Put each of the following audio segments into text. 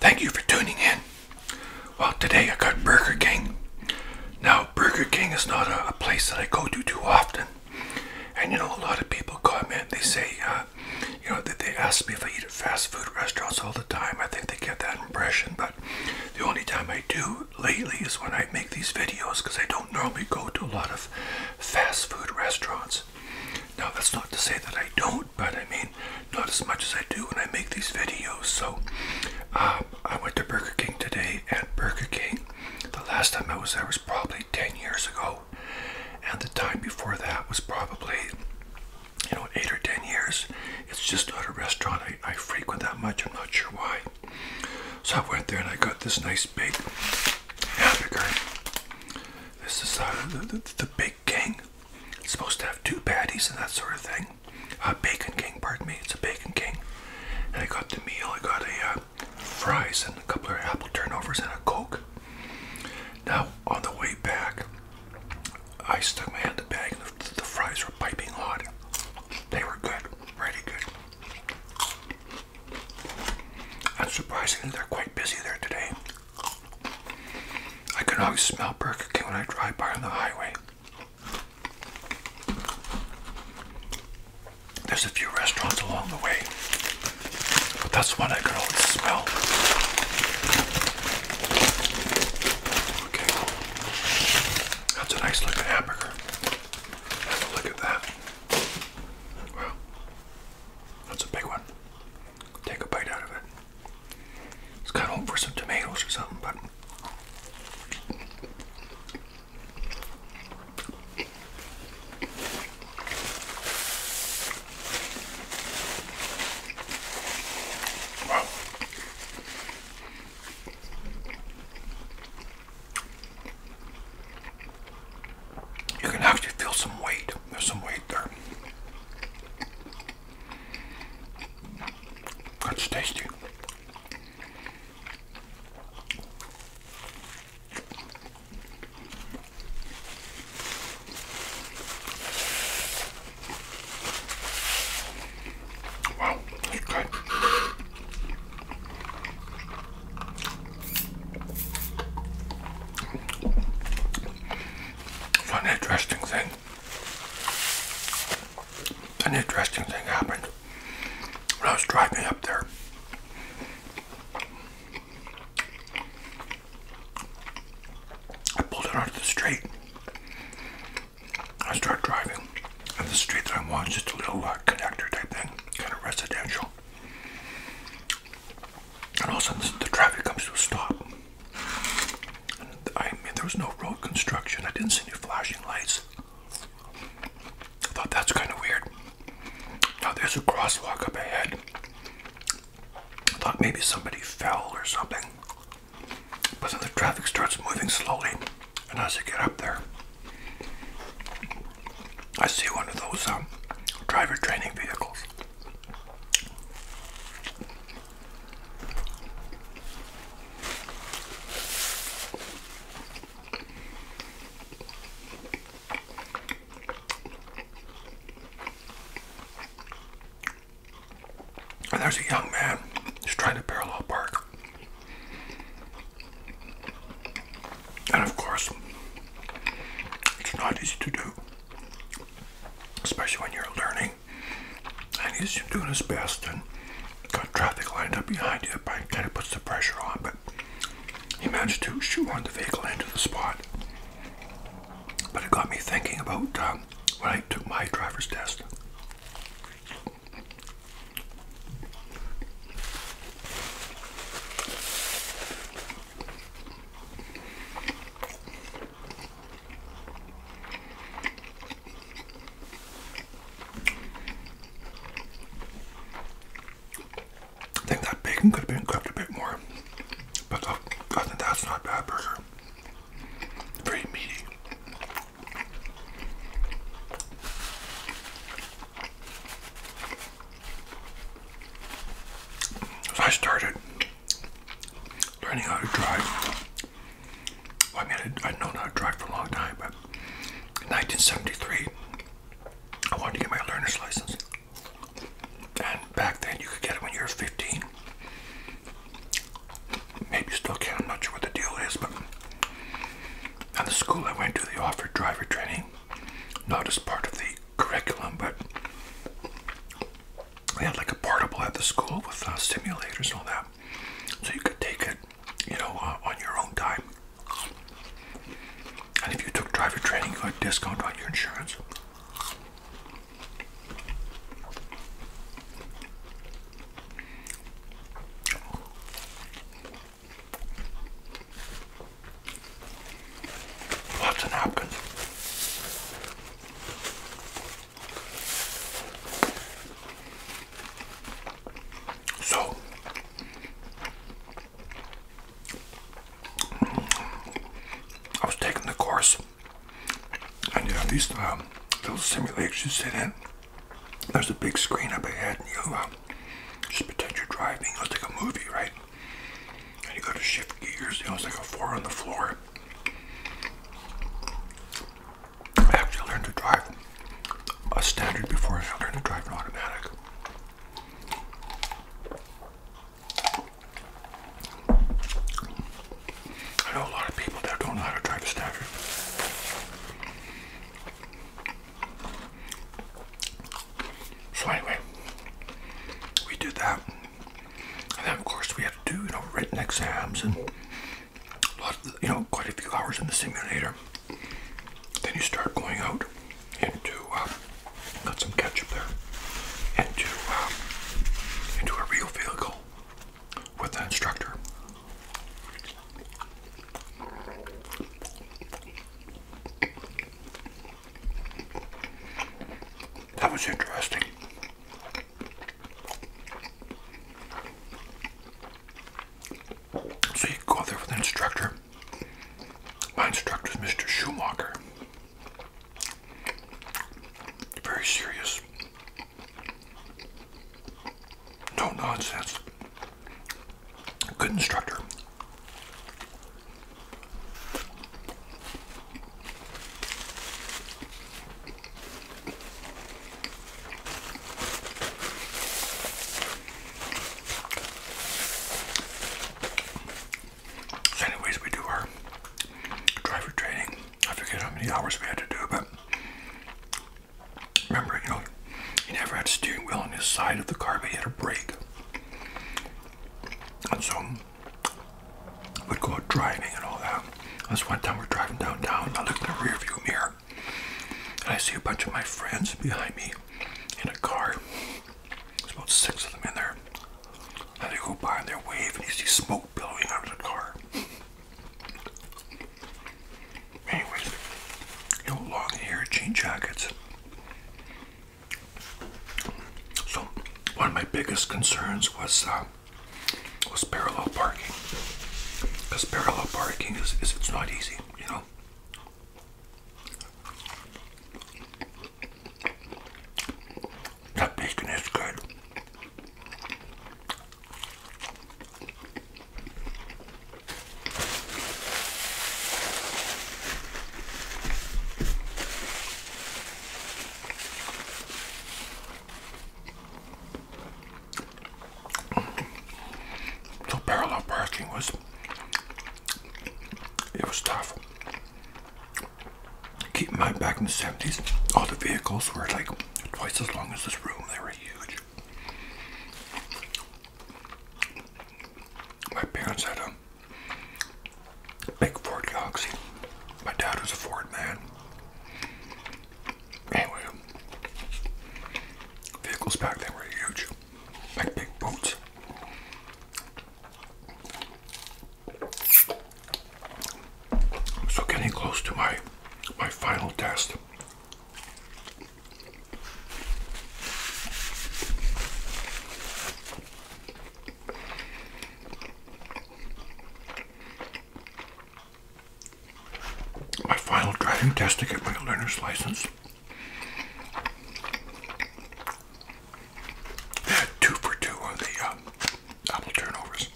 Thank you for tuning in. Well, today I got Burger King. Now, Burger King is not a, place that I go to too often. And you know, a lot of people comment, they say, uh, you know, they ask me if I eat at fast food restaurants all the time. I think they get that impression, but the only time I do lately is when I make these videos because I don't normally go to a lot of fast food restaurants. Now that's not to say that I don't, but I mean, not as much as I do when I make these videos. So um, I went to Burger King today, At Burger King, the last time I was there was probably 10 years ago, and the time before that was probably you know, eight or ten years. It's just not a restaurant I, frequent that much. I'm not sure why. So I went there and I got this nice big hamburger. This is uh, the, the Big King it's supposed to have two patties and that sort of thing. Uh, bacon King, pardon me, it's a Bacon King. And I got the meal, I got a uh, fries and a couple of apple turnovers and a Coke. Now, on the way back, I stuck my hand in the bag and the, fries were piping hot. They were good, really good. And surprisingly, they're quite busy there today. I can always smell Burger King when I drive by on the highway. There's a few restaurants along the way, but that's one I can always smell. Okay, that's a nice looking hamburger. Have a look at that. Wow, that's a big one. Take a bite out of it. Let's of home for some tomatoes or something, but you can actually feel some weight. There's some weight there. That's tasty. Wow, that's good one interesting thing an interesting thing happened when I was driving up there. I pulled out onto the street. I start driving, and the street that I'm on is just a little uh, connector type thing, kind of residential and all of a sudden the traffic comes to a stop. I mean, there was no road construction. I didn't see any flashing lights. I thought that's kind of weird. Now there's a crosswalk up ahead. I thought maybe somebody fell or something. But then the traffic starts moving slowly, and as I get up there, I see one of those um, driver training vehicles there's a young man who's trying to parallel park. And of course, it's not easy to do especially when you're learning. And he's doing his best and got traffic lined up behind you, but kind of puts the pressure on. But he managed to shoot shoehorn the vehicle into the spot. But it got me thinking about um, when I took my driver's test. I think that bacon could have been cooked a bit more, but that's not bad burger. Very meaty. I started learning how to drive, I mean, I'd, known how to drive for a long time, but in 1973, I wanted to get my learner's license. And back then, you could get it when you were 15. Maybe you still can, I'm not sure what the deal is, but at the school I went to, they offered driver training, not as part of the curriculum, but they had like a portable at the school with uh, stimulators and all that, so you could take it, you know, uh, on your own time. And if you took driver training, you got a discount on your insurance. Lots of napkins. So, I was taking the course, and yeah, these um, little simulations you sit in. There's a big screen up ahead, and you um, just pretend you're driving. like a movie, right? And you go to shift gears, you know, it's like a four on the floor. I actually learned to drive a standard before I learned to drive an automatic. I know a lot of people that don't know how to drive a standard. So anyway, we did that. And then of course we had to do, you know, written exams and a lot of, you know, quite a few hours in the simulator. Then you start going out into, uh, got some ketchup there, into, uh, into a real vehicle with the instructor. That was interesting. So you go there with an instructor. My instructor is Mr. Schumacher. Very serious. No nonsense. Good instructor. anyways, we do our driver training. I forget how many hours we had to do, but remember, you know, he never had a steering wheel on his side of the car, but he had a brake. And so we'd go out driving and all that. That's one time we're driving downtown, I look in the rearview mirror, and I see a bunch of my friends behind me in a car. There's about six of them in there. And they go by and they wave, and you see smoke billowing out of the car. Anyways, you know, long hair, jean jackets. So one of my biggest concerns was uh, was parallel parking, because parallel parking is, is it's not easy, you know. That bacon is good. So parallel parking was it was tough. Keep in mind back in the 70s, all the vehicles were like twice as long as this room. They were huge my parents had a big Ford Galaxy. My dad was a Ford man. Anyway, vehicles back then were huge, like big boats. So getting close to my my final test. My final driving test to get my learner's license. two for two on the uh, turnovers.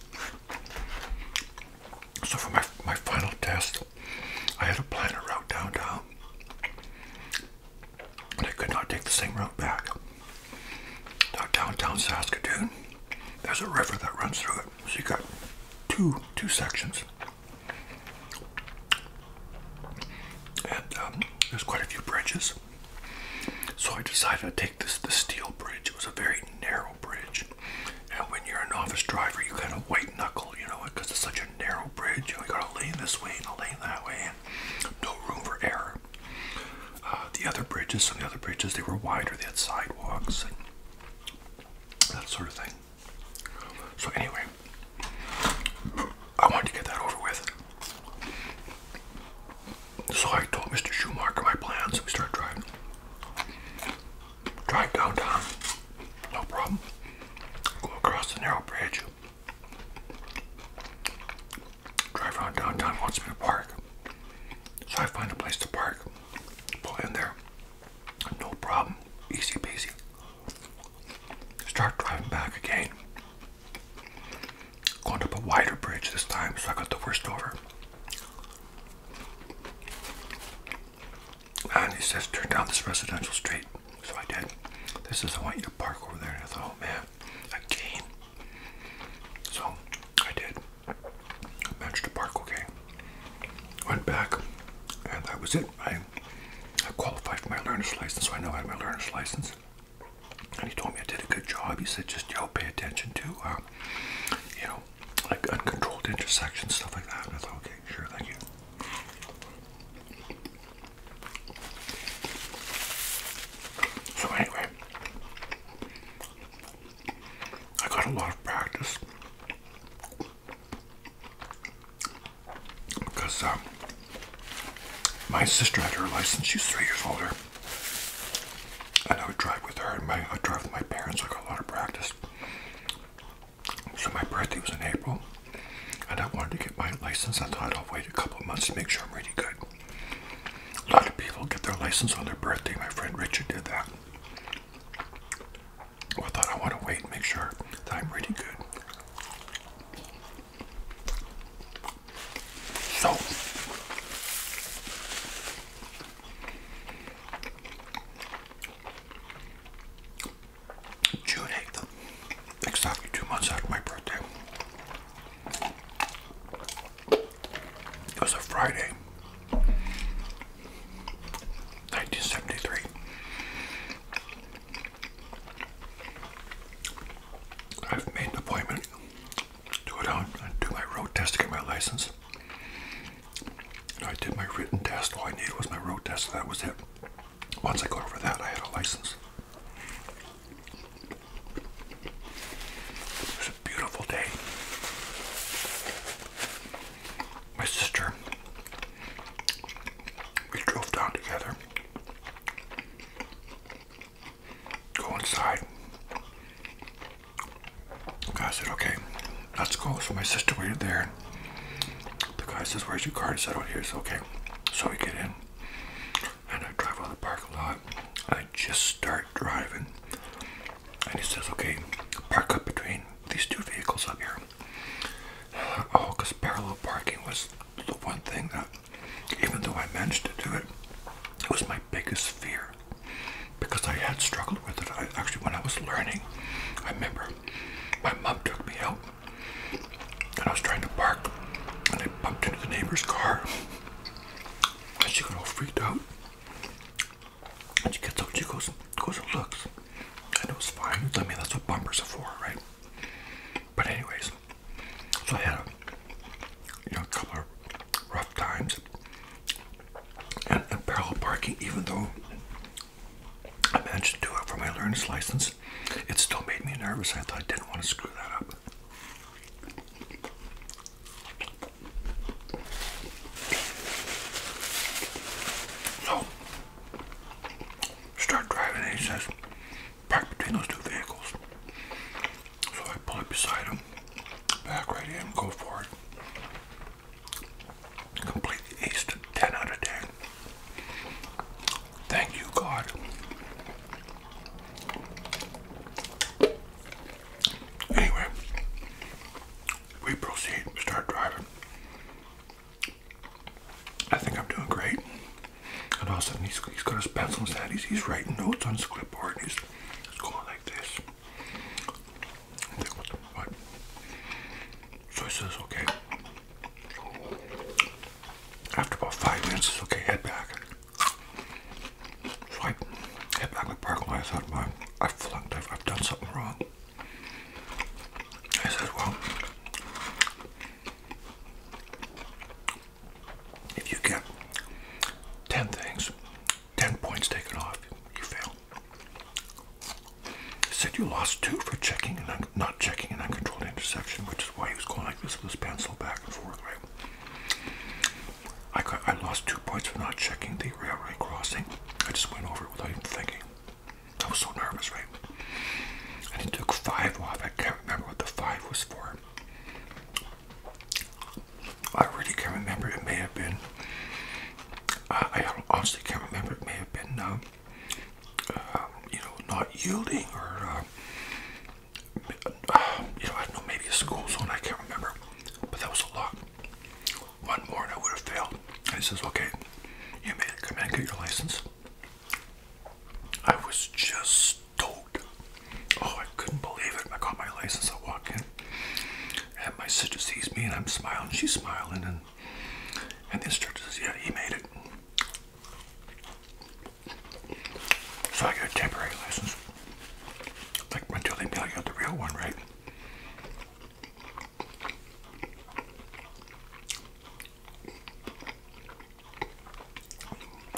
So for my my final test, I had a plan to route downtown, but I could not take the same route back. Now downtown Saskatoon, there's a river that runs through it, so you got two two sections, and um, there's quite a few bridges. So I decided to take this the steel bridge. It was a very narrow bridge, and when you're an office driver, you kind of white knuckle you know, because it's such a narrow bridge. You, know, got a lane this way and a lane that way, and no room for error. Uh, the other bridges, some the other bridges, they were wider. They had sidewalks and that sort of thing. So anyway, I wanted to get that over with. So I told Mr. Schumacher my plans, and we started driving drive downtown, no problem. Go across the narrow bridge, drive around downtown, wants me to park. So I find a place to park, pull in there, no problem, easy peasy. Start driving back again. Going up a wider bridge this time, so I got the worst over. And he says, turn down this residential street. So I did. This is, I want you to park over there. And I thought, oh man, again. So I did. I managed to park okay. Went back, and that was it. I, I qualified for my learner's license, so I know I have my learner's license. And he told me I did a good job. He said, just, you know, pay attention to, uh, you know, like uncontrolled intersections, stuff like that. And I thought, okay, Sure, thank you. So anyway, I got a lot of practice because um, my sister had her license. She's three years older, and I would drive with her. And my I drive with my parents. I got a lot of practice. So my birthday was in April, and I wanted to get my license. I thought I'll wait a couple of months to make sure I'm really good. A lot of people get their license on their birthday. My friend Richard did that. I thought I want to wait and make sure that I'm really good. So, June 8th, exactly two months after my birthday. It was a Friday, 1973. I've made an appointment to go down and do my road test to get my license. I did my written test. All I needed was my road test. That was it. Once I got over that, I had a license. It was a beautiful day. My sister, we drove down together. Go inside. I said, okay, Let's go. So my sister waited there. The guy says, Where's your car?" I said, Oh, here's okay. So we get in and I drive out of the parking lot. I just start driving. And he says, Okay, park up between these two vehicles up here. Oh, because parallel parking was the one thing that, even though I managed to do it, it was my biggest fear because I had struggled with it. actually, when I was learning, I remember my mom took me out and I was trying to park and I bumped into the neighbor's car and she got all freaked out and she gets up she goes goes and looks and it was fine I mean that's what bumpers are for right but anyways so I had a you know a couple of rough times and parallel parking even though I managed to do it for my learner's license. It still made me nervous. I thought I didn't want to screw that up. So, start driving he says, park between those two vehicles. So I pull up beside him, back right in, go forward. Completely aced 10 out of 10. Thank you, God. Anyway, we proceed, start driving. I think I'm doing great. And all of a sudden, he's got his pencil in hand, he's, writing notes on his clipboard, he's going like this. That okay. After about five minutes, it's okay, head back. So I head back to the I thought, well, I flunked, I've, I've done something wrong. I said, well, if you get 10 things, 10 points taken off, you fail. Said you lost two for checking and not checking an uncontrolled interception, which is why he was going like this with his pencil back and forth, right? I I lost two points for not checking the railway crossing. I just went over it without even thinking. I was so nervous, right? And he took five off. I can't remember what the five was for. I really can't remember. It may have been I honestly can't remember. It may have been, um, um, you know, not yielding or, um, you know, I don't know, maybe a school zone. I can't remember. But that was a lot. One more and I would have failed. he says, okay, you may come and get your license. I was just stoked. Oh, I couldn't believe it. I got my license. I walk in. And my sister sees me and I'm smiling, she's smiling, and and the instructor says, Yeah, he made it. So I got a temporary license. Like until they mail you the real one, right?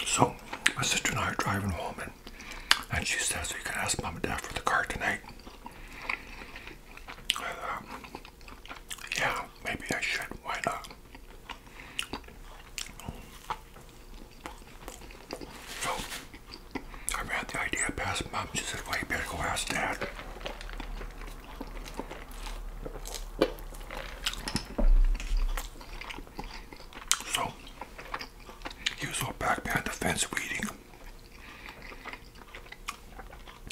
So my sister and I are driving home and and she says, You can ask mom and dad for the car tonight. Um, yeah, maybe I should. Why not? So I ran the idea past mom. She said, Well, you better go ask dad. So he was all back behind the fence waiting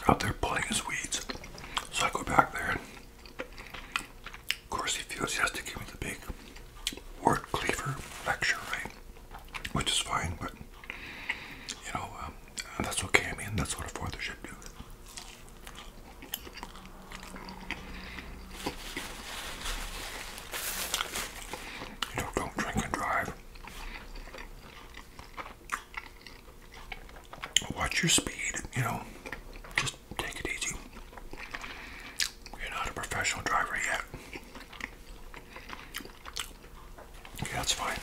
out there pulling his weeds. So I go back there, and of course, he feels he has to give me the big word cleaver lecture, right? Which is fine, but you know, um, that's okay. I mean, that's what a father should do. You know, don't drink and drive. Watch your speed, you know, just take it easy. You're not a professional driver yet. Yeah, that's fine.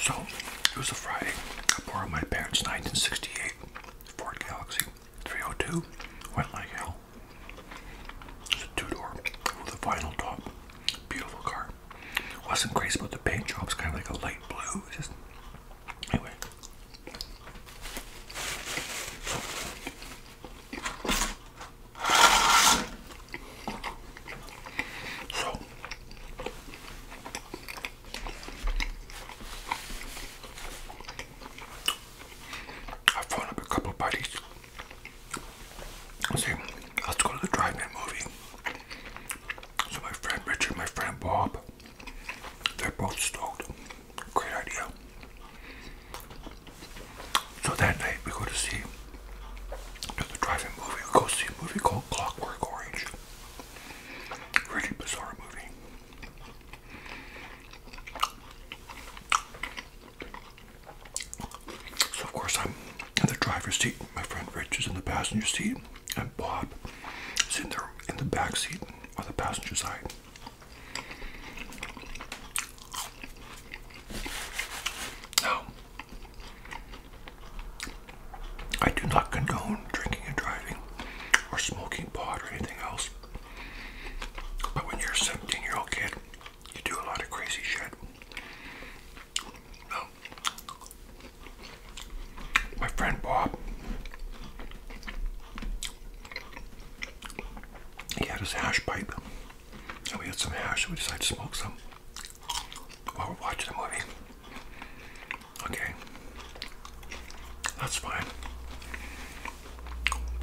So, it was a Friday. I borrowed my parents' 1968 Ford Galaxy 302. Went like hell. It's a two-door with a vinyl top. Beautiful car. Wasn't great about the paint job. It's kind of like a light blue. anyway. I phoned up a couple of See, let's go to the Drive in movie. So my friend Richard, my friend Bob, they're both stoked. Great idea. So that night we go to see to the drive-in movie. We go see a movie called Clockwork Orange. Really bizarre movie. So of course I'm in the driver's seat. My friend Rich is in the passenger seat, and Bob is in there in the back seat on the passenger side. Now, I do not condone drinking and driving or smoking pot or anything else. But when you're a 17 year old kid you do a lot of crazy shit. No. My friend Bob, he had his hash pipe, and we had some hash, so we decided to smoke some while we're watching the movie. Okay, that's fine.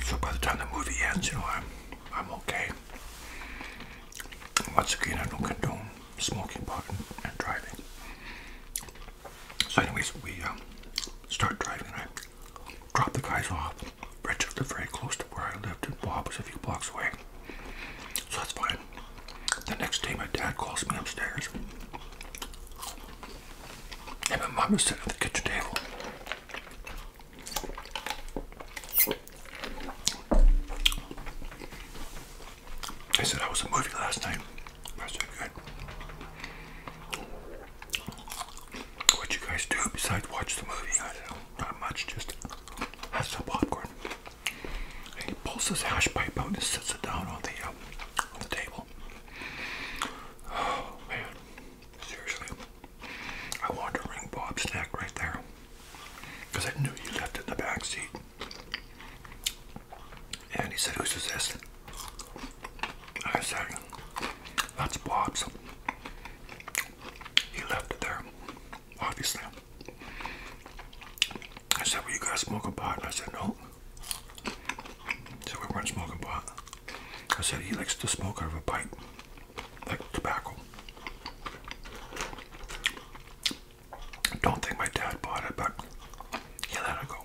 So by the time the movie ends, you know, I'm I'm okay. Once again, I don't condone smoking pot and, driving. So, anyways, we um, start driving, and I drop the guys off. Richard lived very close to where I lived, and Bob was a few blocks away. So that's fine. The next day, my dad calls me upstairs. And my mom is sitting at the kitchen table. I said I was a movie last night. That's so good. What do you guys do besides watch the movie? not much, just have some popcorn. And he pulls his hash pipe out and sets it down on the um, on the table. Oh, man, seriously. I wanted to ring Bob's neck right there because I knew you left in the back seat. And he said, "Who's is this? I said, That's Bob's. He left it there, obviously. I said, Well, you guys smoking pot? And I said, No. So we weren't smoking pot. I said he likes to smoke out of a pipe, like tobacco. don't think my dad bought it, but yeah, that'll go.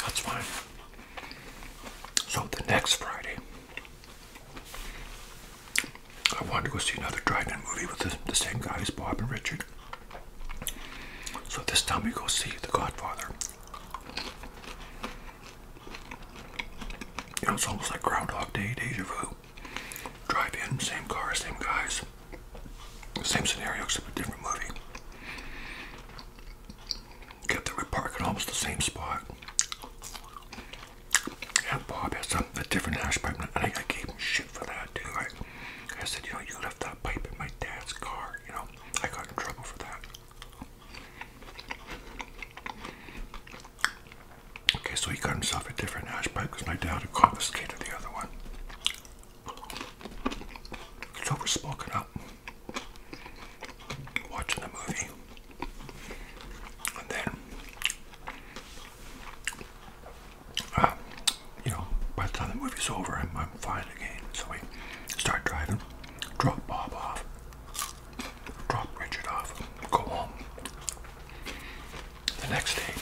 That's fine. So the next Friday, I wanted to go see another drive movie with the same guys, Bob and Richard. So this time we go see The Godfather. You know, it's almost like Groundhog Day, deja vu. Drive in, same car, same guys, same scenario except a different movie. Get there, we park at almost the same spot. Yeah, Bob has a, different hash pipe, and I, I gave him shit for that, too. I, I said, you know, you left that pipe in my dad's car, you know. I got in trouble for that. Okay, so he got himself a different ash pipe because my dad had confiscated the other one. So we're smoking up, watching the movie, and then, uh, you know, by the time the movie's over, I'm, I'm fine again. So we start driving drop Bob off, drop Richard off, go home. The next day,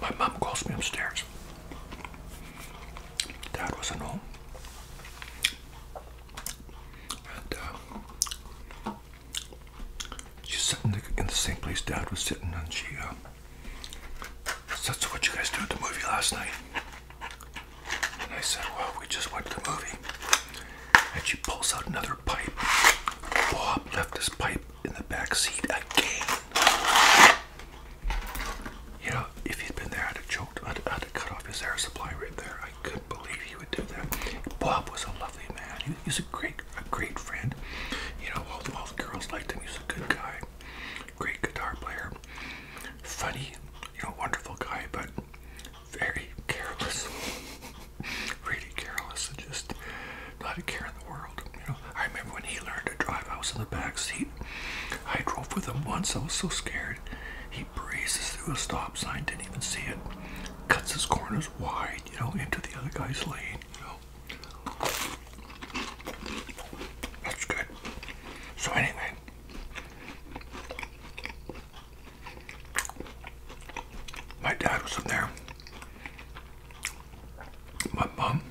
my mom calls me upstairs. Dad wasn't home. And uh, she's sitting in the same place Dad was sitting, and she uh, that's what you guys do at the movie last night. And I said, well, we just went to the movie. And she pulls out another pipe. Bob left his pipe in the back seat again. You know, if he'd been there, I'd have choked. I'd, I'd have cut off his air supply right there. I couldn't believe he would do that. Bob was a lovely man. He, was a great, a great friend. You know, all the, girls liked him. He was a good guy great guitar player, funny, you know, wonderful guy, but very careless, really careless, and just not a care in the world. You know, I remember when he learned to drive. I was in the back seat. I drove with him once. I was so scared. He breezes through a stop sign, didn't even see it. Cuts his corners wide, you know, into the other guy's lane. You know. That's good. So anyway, my dad was in there. My mom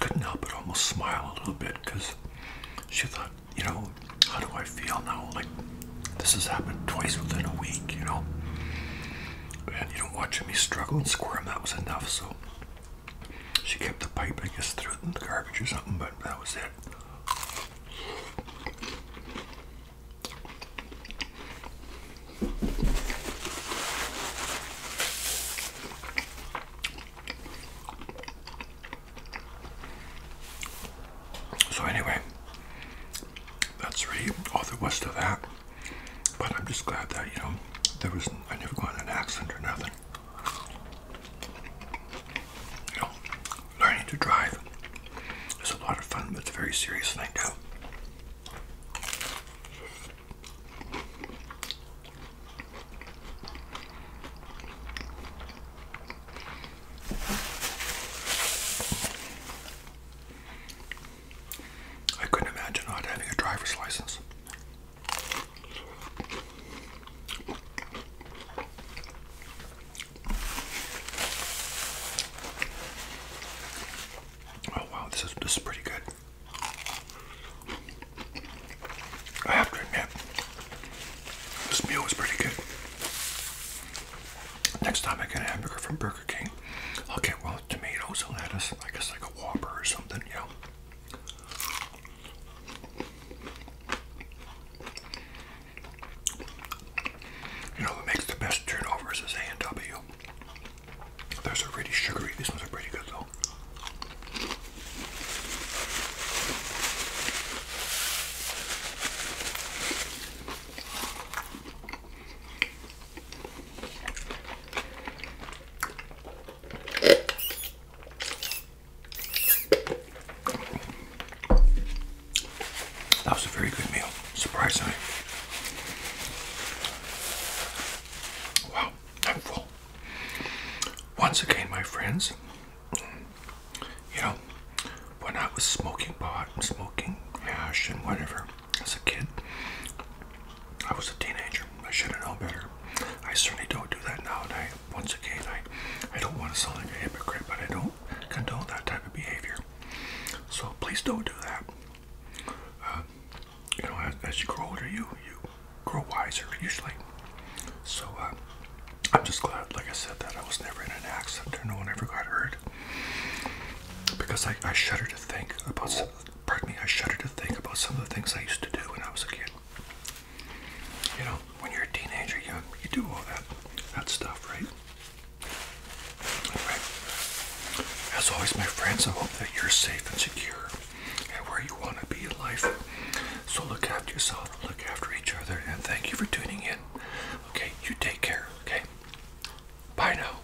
couldn't help but almost smile a little bit because she thought, you know, how do I feel now? Like this has happened twice within a week, you know. And you know, watching me struggle and squirm, that was enough. So she kept the pipe I guess threw it in the garbage or something, but that was it. So anyway, that's really all there was to that. But I'm just glad that, you know, there was I never got an accident or nothing. You know, learning to drive is a lot of fun, but it's a very serious thing too. I couldn't imagine not having a driver's license. Oh wow, this is this is pretty good. I have to admit, this meal was pretty good. Next time I get a hamburger from Burger King, I'll get well tomatoes and lettuce. I guess like a Whopper or something, you know. You know what makes the best turnovers is a and Those are really sugary. These ones are pretty good though. That was a very good meal, surprisingly. Wow, I'm full. Once again, my friends, you know, when I was smoking pot smoking hash and whatever as a kid, I was a teenager. I should have known better. I certainly don't do that now, and I, once again, I, I don't want to sound like a hypocrite, but I don't condone that type of behavior. So please don't do that. Uh, you know, as, you grow older, you you grow wiser usually. So uh, I'm just glad, like I said, that I was never in an accident or no one ever got hurt. Because I, I shudder to think about pardon me, I shudder to think about some of the things I used to do when I was a kid. You know, when you're a teenager, you, you do all that, that stuff, right? as always, my friends, I hope that you're safe and secure and where you want to be in life. So look after yourself, look after each other, and thank you for tuning in. Okay, you take care, okay? Bye now.